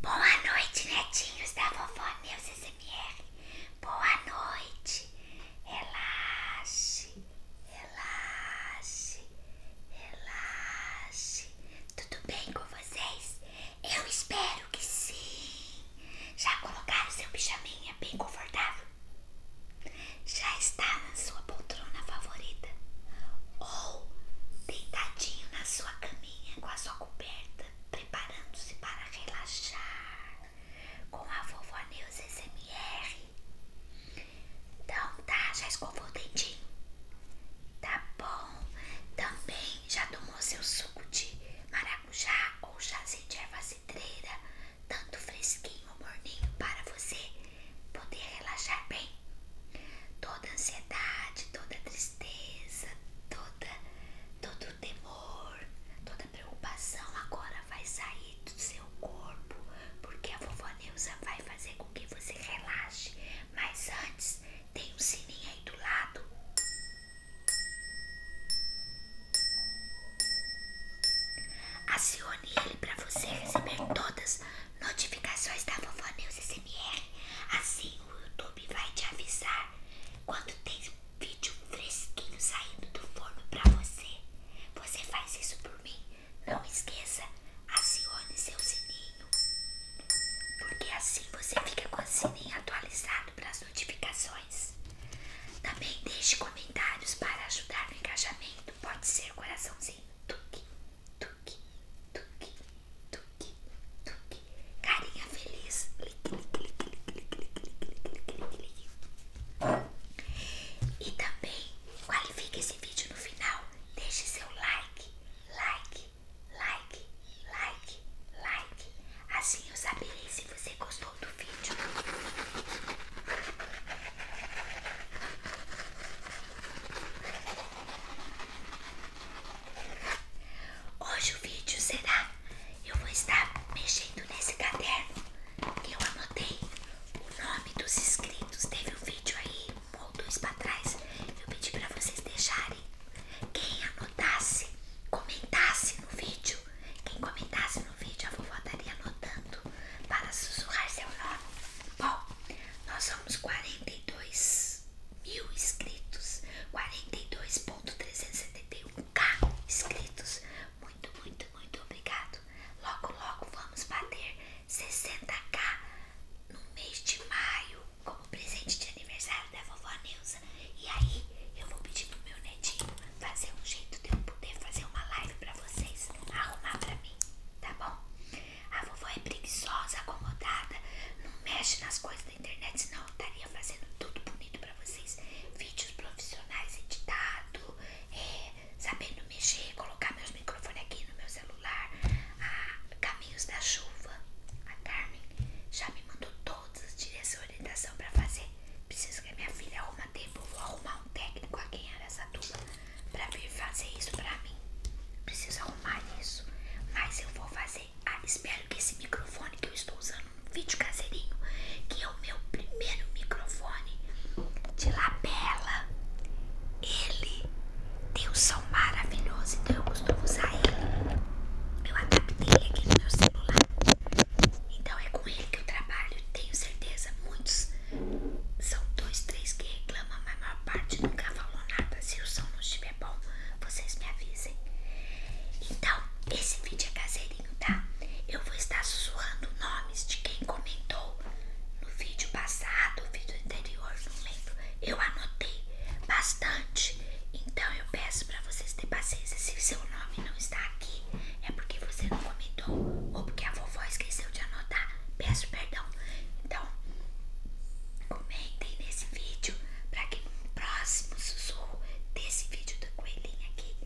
Boa noite, netinhos da vovó Neus SMR. Boa noite. Relaxe, relaxe, relaxe. Tudo bem com vocês? Eu espero que sim. Já colocaram seu pijaminha bem confortável? Já está na sua poltrona favorita? Ou deitadinho na sua cama? com a sua coberta, preparando-se para relaxar com a vovó Neus SMR. Então tá, já escovou o dentinho? Tá bom. Também já tomou seu suco de maracujá ou chazinho de erva cidreira, tanto fresquinho ou morninho para você poder relaxar bem? toda ansiedade, toda tristeza, toda, todo temor, toda preocupação agora vai sair do seu corpo, porque a vovó Neuza vai fazer com que você relaxe. Mas antes, tem um sininho aí do lado. Acione ele para você receber todas notificações da Vovó News SMR. Assim o YouTube vai te avisar quando tem vídeo fresquinho saindo do forno pra você. Você faz isso por mim? Não esqueça, acione seu sininho. Porque assim você fica com o sininho atualizado para as notificações. Também deixe comentários para ajudar no engajamento. Pode ser coraçãozinho. Tuque, tuque, tuque, tuque, tuque. Carinha feliz. E também qualifique esse vídeo no final. Deixe seu like, like, like, like, like. Assim eu saberei se você gostou do vídeo. Hoje o vídeo será eu vou estar mexendo nesse caderno que eu anotei o nome dos inscritos. Teve um vídeo aí um ou dois para trás. Eu pedi para vocês deixarem quem anotasse, comentasse no vídeo. Quem comentasse no vídeo, a vovó estaria anotando para sussurrar seu nome. Bom, nós somos 42 inscritos, mil inscritos, 42.371k inscritos. Muito, muito, muito obrigado. Logo, logo vamos bater 60k no mês de maio como presente de aniversário da vovó Neuza. E aí eu vou pedir pro meu netinho fazer um jeito de eu poder fazer uma live pra vocês, arrumar pra mim, tá bom? A vovó é preguiçosa, acomodada. Não mexe nas coisas da internet, senão eu estaria fazendo tudo bonito pra vocês. Vídeos profissionais editado, é, sabendo mexer, colocar meus microfones aqui no meu celular. caminhos da chuva. A Carmen já me mandou todas as direções e orientação pra fazer. Preciso que a minha filha arruma tempo. Vou arrumar um técnico a ganhar essa Aracatuba para vir fazer isso para mim. Preciso arrumar isso. Mas eu vou fazer. Ah, espero que esse microfone que eu estou usando um vídeo caseirinho, que é o meu primeiro microfone de lapela, ele tem o som maravilhoso, então eu costumo usar ele. Eu adaptei ele aqui no meu celular. Então é com ele que eu trabalho. Tenho certeza, muitos são dois, três que reclamam a mamãe, maior parte nunca falou nada. Se o som não estiver bom, vocês me avisem. Então, esse vídeo é caseirinho, tá? Eu vou estar sussurrando nomes de quem comentou no vídeo passado, vídeo anterior, não lembro. Eu anotei bastante. Então, eu peço pra vocês terem paciência. Se o seu nome não está aqui, é porque você não comentou ou porque a vovó esqueceu de anotar. Peço perdão. Então, Comentem nesse vídeo para que no próximo sussurro desse vídeo da coelhinha aqui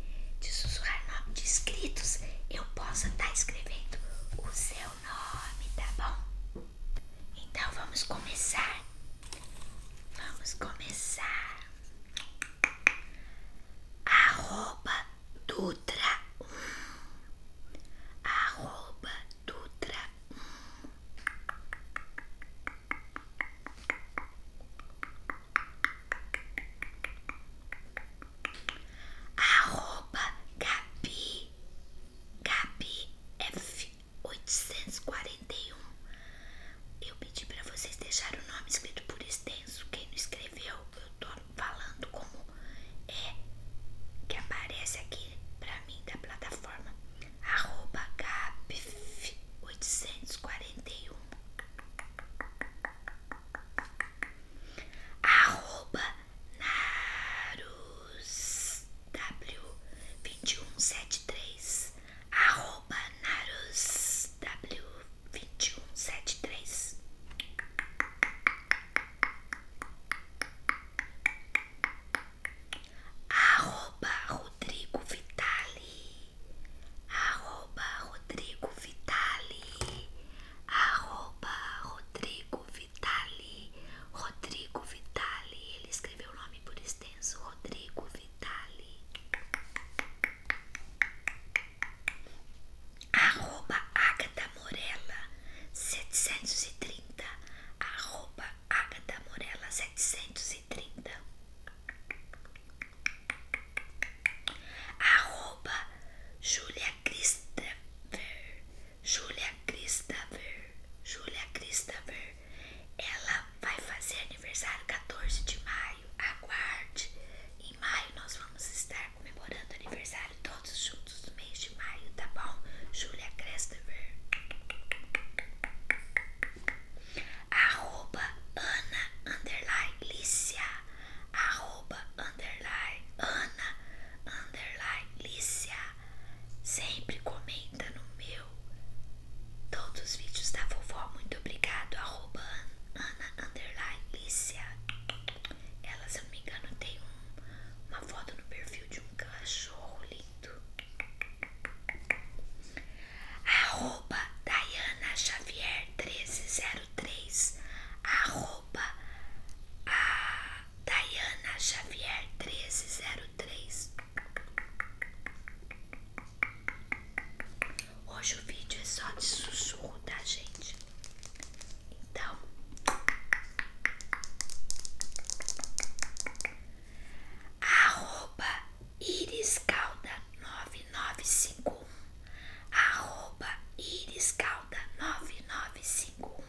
de sussurrar nome de inscritos eu possa estar tá escrevendo o seu nome, tá bom? Então vamos começar. Vamos começar. Arroba Dutra 1 Arroba Dutra Arroba Gabi Gabi F841 Eu pedi pra vocês deixarem o nome escrito por extenso Quem não escreveu, eu tô falando como é que aparece aqui pra mim da plataforma arroba gapf um arroba narus w três arroba narus w três Arroba Rodrigo Vitali. Arroba Rodrigo Vitali. Arroba Rodrigo Vitali. Rodrigo Vitali. Ele escreveu o nome por extenso. Rodrigo Vitali arroba Agatha Morella 730 arroba Agatha Morella 730 arroba Julia Christopher Julia Christopher Julia Christopher ela vai fazer aniversário 14 de maio aguarde em maio nós vamos estar comemorando aniversário todos juntos no mês de maio, tá bom? Julia Christopher. Arroba Ana Underline Lícia. Arroba Ana Underline Lícia. Sempre comenta no meu. Todos os vídeos da vovó. Muito obrigado. Arroba Ana Underline Lícia elas se eu não me engano, tem uma foto no perfil de um cachorro lindo. Arroba Dayana Xavier 1303. Arroba a Dayana Xavier 1303. Hoje o vídeo é só de sussurro, tá, gente? Então, arroba iriscalda9951, arroba iriscalda9951.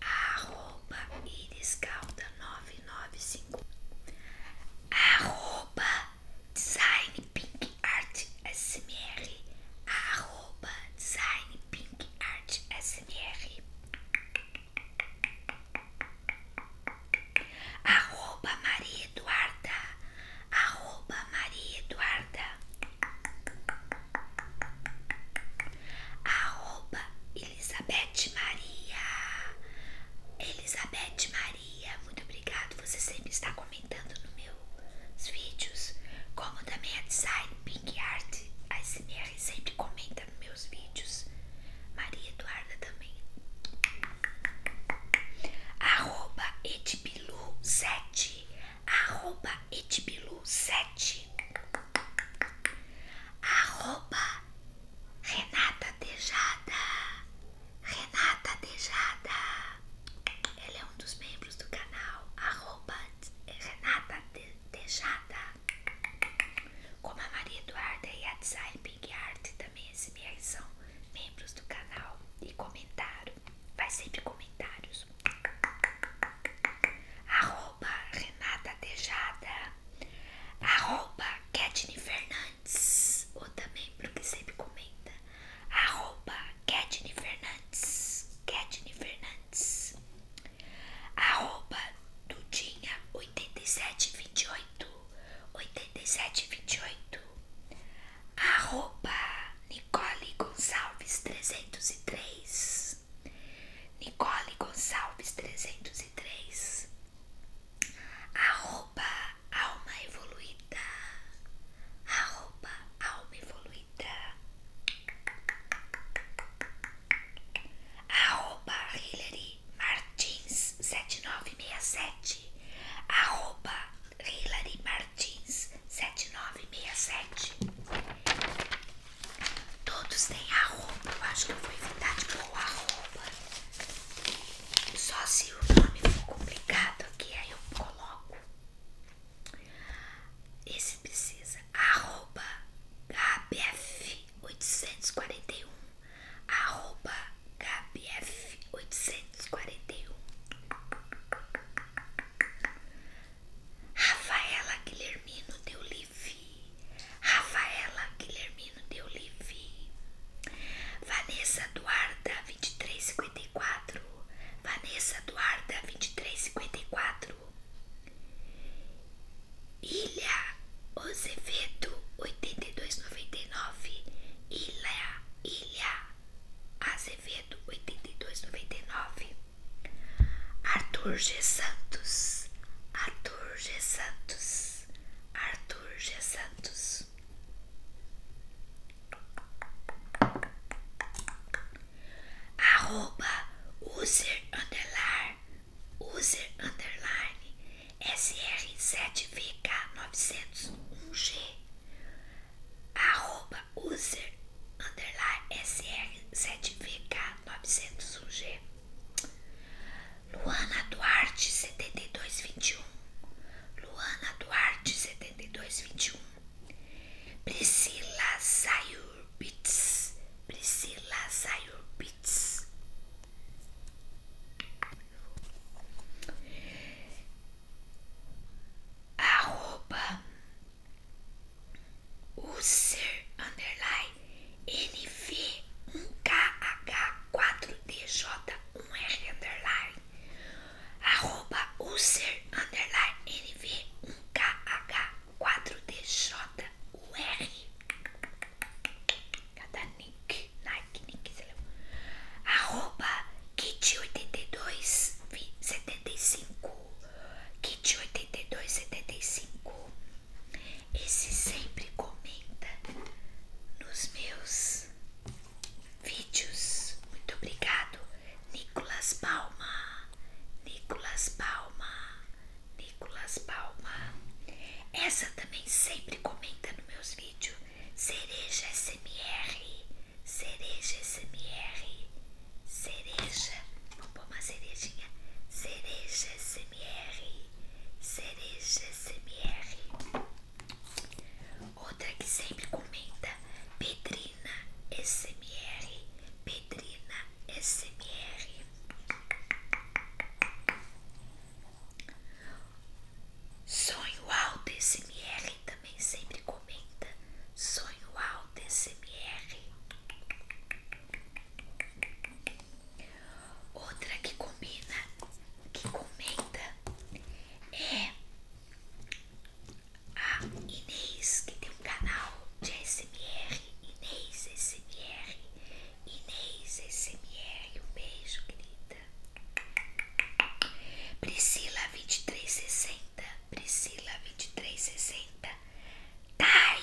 Arroba iriscalda9951 Arroba Design Pink Art SMR, arroba Design Pink Art SMR, arroba Maria Eduarda, arroba Maria Eduarda, arroba Elizabeth Maria, Elizabeth Maria. Maria, muito obrigado. Você sempre está comentando nos meus vídeos. Como também a Design Pink Art ASMR sempre comenta nos meus vídeos. Maria Eduarda também. Arroba Edbilu7. Arroba Edbilu7. Arroba Renata Tejada. Renata Tejada. Ela é um dos membros do canal. Arroba Renata Tejada. Como a Maria Eduarda e a Design Big Art também são membros do canal e comentaram. Vai sempre comentários. Arroba Renata Tejada. Arroba Fernandes ou também pro que sempre comenta, arroba Ketine Fernandes, Ketine Fernandes, arroba Dudinha 8728, 8728, arroba Nicole Gonçalves 303, Nicole Gonçalves 303, Arroba alma evoluída. Arroba alma evoluída. Arroba Hillary Martins 7967. Arroba Hillary Martins 7967. Todos têm arroba. Eu acho que eu vou evitar arroba. Só se o nome for complicado aqui, aí eu coloco. Esse precisa arroba kbf841 arroba kbf841 Rafaela Guilhermino deu livro Rafaela Guilhermino de Olive, Vanessa Duarda 2354, Vanessa Duarda 2354, Ilha Ozevedo 8299, Ilha, Ilha Azevedo 8299, Arthur G. Santos, Arthur G. Santos. Arthur G. Santos. Arroba user underline, user underline, sr7vk901g. Arroba user underline, sr7vk901g. Luana Duarte setenta e e dois vinte um. Luana Duarte setenta e e dois vinte um. Priscila Zayurbitz. Priscila Zayurbitz. Arroba User Underline NV1KH4DJ1R underline arroba user underline NV1KH4DJ1R cada nick, Nike, nick, sei lá arroba kit8275 kit8275 esse sempre comenta nos meus vídeos. Muito obrigado, Nicolas Palma. Nicolas Palma. Nicolas Palma. Essa também sempre comenta nos meus vídeos. Cereja SMR. Cereja SMR. Cereja. Vamos pôr uma cerejinha. Cereja SMR. SMR, cereja SMR. Outra que sempre comenta, Pedrina SMR, Pedrina SMR. Sonho Alto SMR também sempre comenta, Sonho Alto SMR. Outra que combina, que comenta é a Inês, que tem um canal de SMR, Inês SMR, Inês SMR, um beijo, querida. Priscila 2360, Priscila 2360, Tai,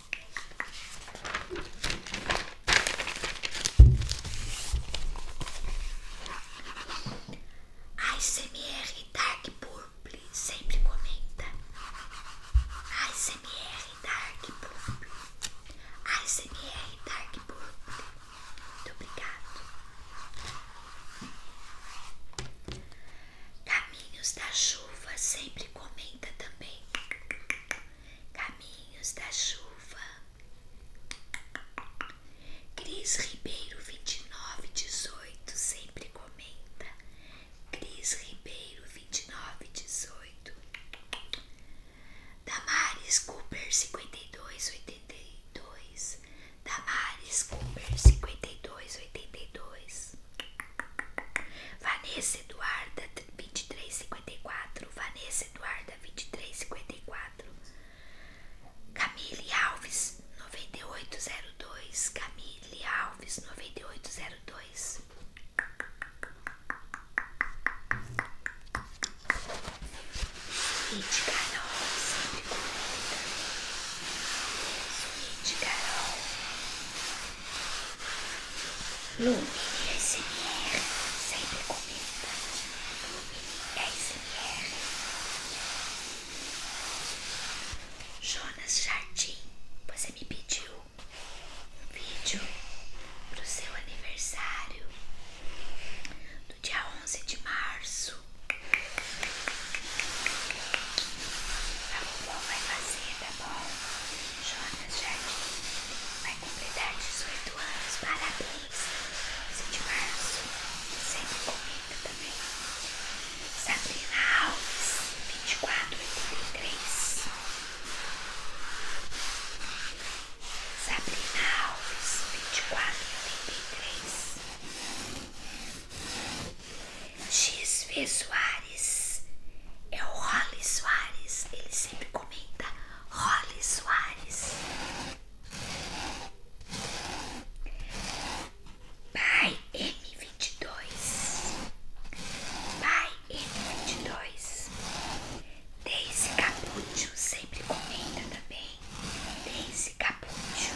A ASMR Dark Purple sempre comenta. A ASMR Dark Purple. A ASMR Dark Purple. Muito obrigado. Caminhos da chuva sempre comenta também. Caminhos da chuva. Cris Ribeiro 2918 sempre comenta. Cris Ribeiro 2918. Damares Cooper 5282. Damares Cooper 5282. Vanessa Eduarda quatro Vanessa Eduarda quatro Camille Alves noventa e oito zero dois Camille Alves 9802. Suíte Carol, sempre Suíte Carol, Lume SMR, sempre comenta. Lume SMR. Jonas Jardim, você me pediu um vídeo pro seu aniversário do dia 11 de março. A vovó vai fazer, tá bom? Jonas Jardim vai completar 18 anos, parabéns! 11 de março, sempre comenta também. Sabrina Alves, 2483. Sabrina Alves, 2483. XV Soares é o Rolly Soares, ele sempre comenta Rolly Soares. Pai M22, Pai M22, Daisy capucho sempre comenta também, Daisy capucho.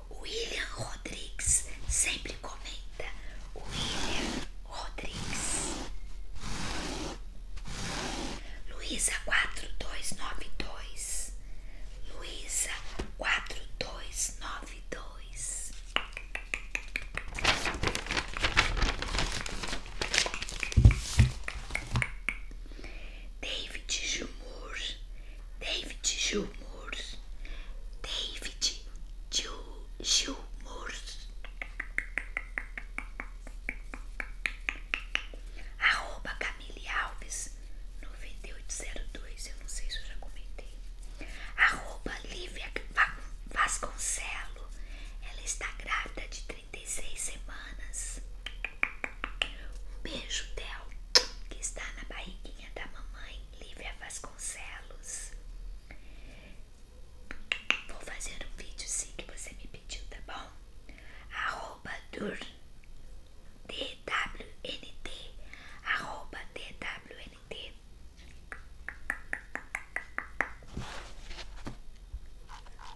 William Rodrigues sempre comenta. William Rodrigues. Luísa dois Luísa dois. David Gilmour, David Gilmour, David Gilmour. Arroba Camille Alves 9802, eu não sei se eu já comentei. Arroba Lívia Vasconcelo, ela está grávida de 36 semanas. Um beijo, Del que está na barriguinha da mamãe, Lívia Vasconcelos. Vou fazer um vídeo sim que você me pediu, tá bom? Arroba dur, DWNT, arroba DWNT.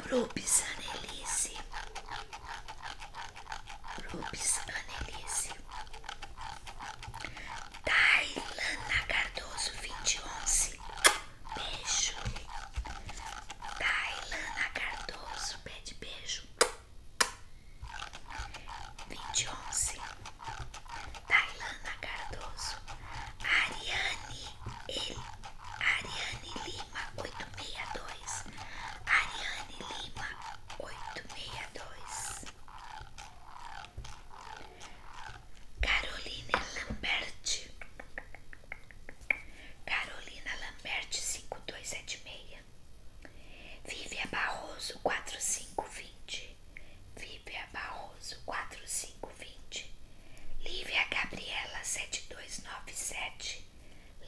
Pro Pisanelice, Rubens Anelise, Tailana Cardoso vinte e onze beijo, Tailana Cardoso pede beijo, vinte e 2011, Tailana Cardoso, Ariane, ele, Ariane Lee, Lima 862. Ariane Lima 862. Carolina Lambert. Carolina Lambert 5276. Vívia Barroso 4520. Vívia Barroso 4520. Lívia Gabriela 7297.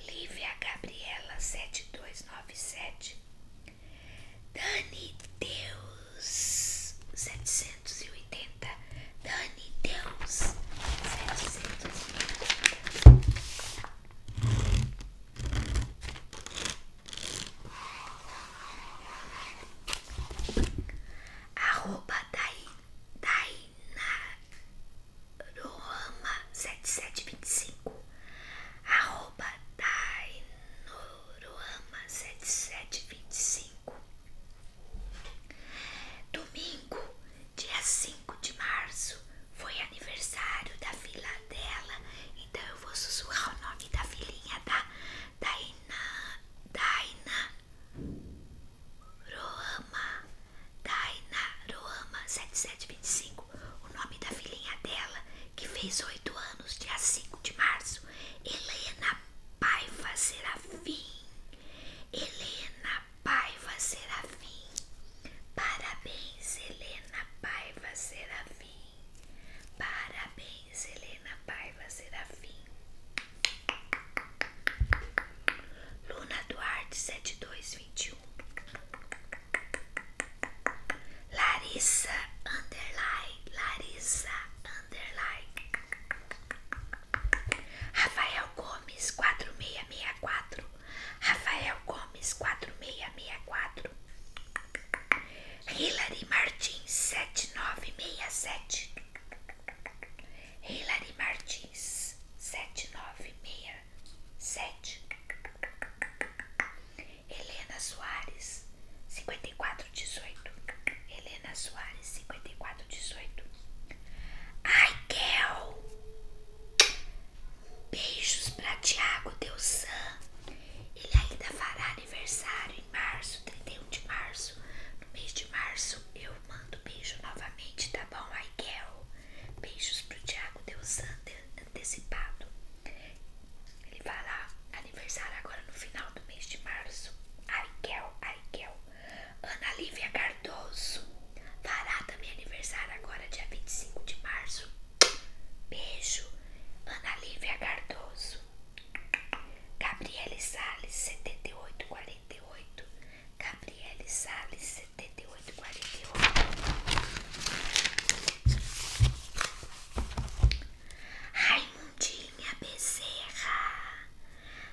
Lívia Gabriela sete dois nove sete Dani Deus setecentos e oitenta Dani Deus setecentos e 780 Arroba Dai Dai Dainoroama7725 arroba Dainoroama7725 Domingo, dia 5 de março, foi aniversário da filha dela, então eu vou sussurrar o nome da filhinha da tá? Daina Daina Ruama Dainaruama 7725, o nome da filhinha dela, que fez oito anos, dia 5 de março, Helena Paiva Serafim. Helena Paiva Serafim. Parabéns, Helena Paiva Serafim. Parabéns, Helena Paiva Serafim. Luna Duarte 7221. Larissa underline, Larissa underline. Rafael Gomes quatro quatro, Rafael Gomes quatro quatro, Hilary Martins sete nove sete, Hilary Martins sete nove 7967 sete, Helena Soares, 5418. Helena Soares, 5418. Ai, Kel! Beijos pra Tiago Deusan. Ele ainda fará aniversário em março, 31 de março. No mês de março eu mando beijo novamente, tá bom, Ai, Kel? Beijos pro Thiago Deus antecipado. Ele vai lá, aniversário agora no final do mês de março. Ariel Ariel Ana Lívia Cardoso. Fará também aniversário agora, dia 25 de março. Beijo, Ana Lívia Cardoso. Gabriele Salles, 7848. Gabriele Salles, 7848. Raimundinha Bezerra.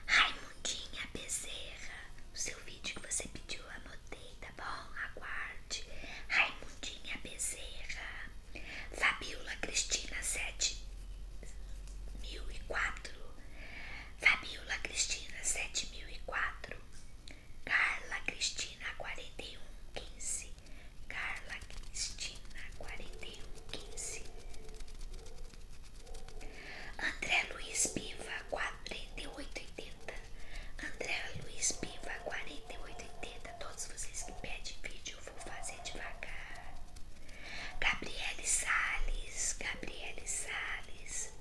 Raimundinha Bezerra. O seu vídeo que você pediu, anotei, tá bom? Aguarde. Raimundinha Bezerra. Fabiola Cristina, 7004. Fabiola Cristina 7004, Carla Cristina 4115, Carla Cristina 4115, André Luiz Piva 4880, André Luiz Piva 4880, todos vocês que pedem vídeo eu vou fazer devagar. Gabriele Sales, Gabriele Sales.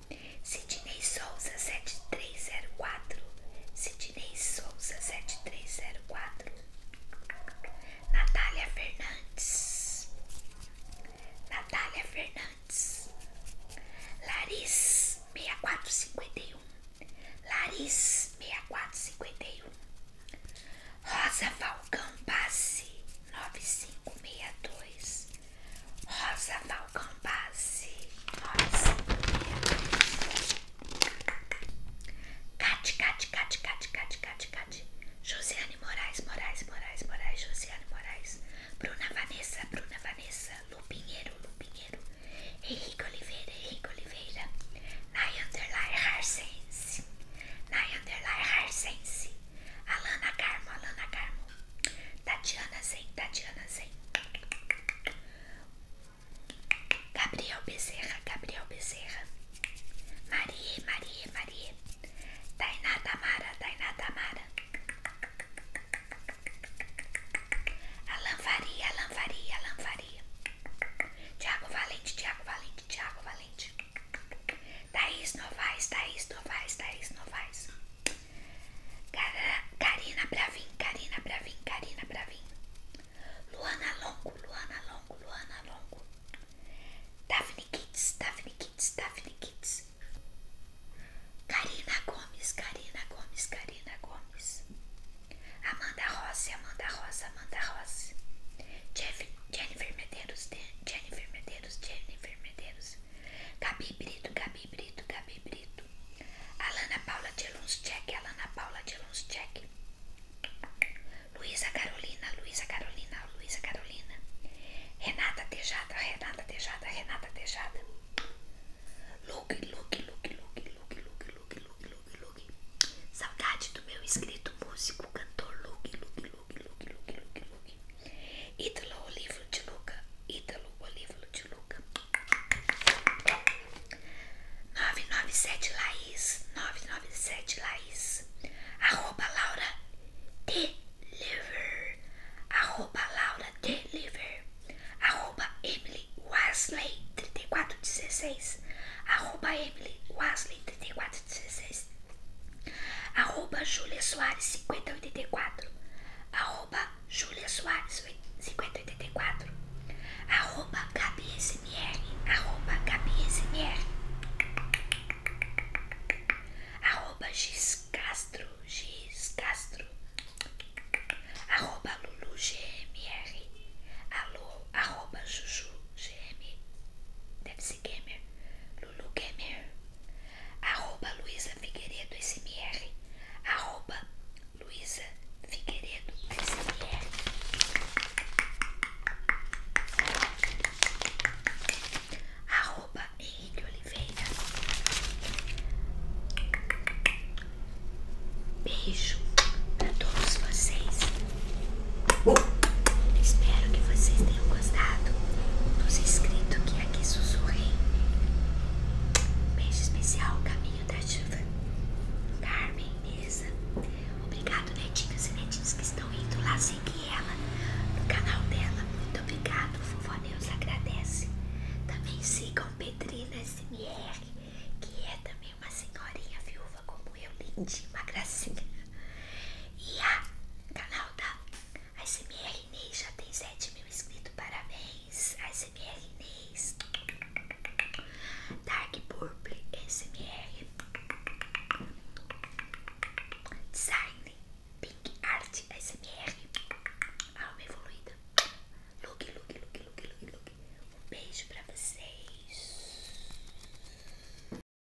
Sidney Souza 7304 Sidney Souza 7304 Natália Fernandes Natália Fernandes Laris 6451 Laris 6451 Rosa Falcão Passe 9562 Rosa Falcão Base, Rosa Cate, Cate, Cate, Cate, Cate, Cate, Cate Josiane Moraes, Moraes, Moraes, Moraes, Josiane Moraes Bruna Vanessa, Bruna Vanessa Lupinheiro, Lupinheiro Henrique Oliveira, Henrique Oliveira nayander Underline Harsense Nay Underline Harsense Alana Carmo, Alana Carmo. Tatiana Zen, Tatiana Zen. Gabriel Bezerra, Gabriel Bezerra. Marie, Marie, Marie. Tainá Tamara, Tainá Tamara. Alan Faria, Alan Faria, Alan Faria. Tiago Valente, Tiago Valente, Tiago Valente. Thaís Novaes, Thaís Novaes, Thaís Novaes. Karina Bravin, Karina Bravin, Karina Bravin. Luana Longo, Luana Longo, Luana Longo. Daphne Kids, Daphne Kids, Daphne Kids. Karina Gomes, Karina Gomes, Karina Gomes. Amanda Rossi, Amanda Rosa, Amanda Rossi. Jennifer Medeiros, Jennifer Medeiros, Jennifer Medeiros. Gabi Brito, Gabi Brito, Gabi Brito. Alana Paula de Lunschek, Alana Paula de Lunschek. Luísa Carolina, Luísa Carolina, Luísa Carolina. Renata Tejada, Renata Tejada, Renata Tejada. Luke, Luke, Luke, Luke, Luke, Luke, Luke, Luke, Luke, Luke. Saudade do meu escrito músico, cantor Luke, Luke, Luke, Luke, Luke, Luke, Luke. Ítalo, o livro de Luca. Ítalo, o livro de Luca. 997 Laís. 997 Laís. Arroba Laura Deliver. Arroba Laura Deliver. Arroba Emily Wesley 3416. Arroba Emily Wesley 3416. Arroba Julia Soares 5084. Arroba Julia Soares 5084. Arroba Gabi SMR. Arroba Gabi SMR. Arroba Giz Castro. Giz Castro. Arroba Lulu GMR. Alô, arroba Juju GM. Deve ser gamer. Lulu Gamer arroba Luiza Figueiredo SMR, arroba Luiza Figueiredo SMR. Arroba Henrique Oliveira. Beijo para todos vocês. Espero que vocês tenham gostado dos inscritos que aqui sussurrei. Beijo especial, Caminho da Chuva, Carmen, Isa. Obrigado, netinhos e netinhas que estão indo lá seguir ela no canal dela. Muito obrigado, Vovó Neus agradece. Também sigam Pedrina SMR, que é também uma senhorinha viúva como eu, lindinha, uma gracinha. E a canal da ASMR Inês já tem 7 mil inscritos, parabéns! ASMR Inês, Dark Purple ASMR, Design Pink Art ASMR, Alma Evoluída, Look, Look, Look, Look, Look, Um beijo pra vocês.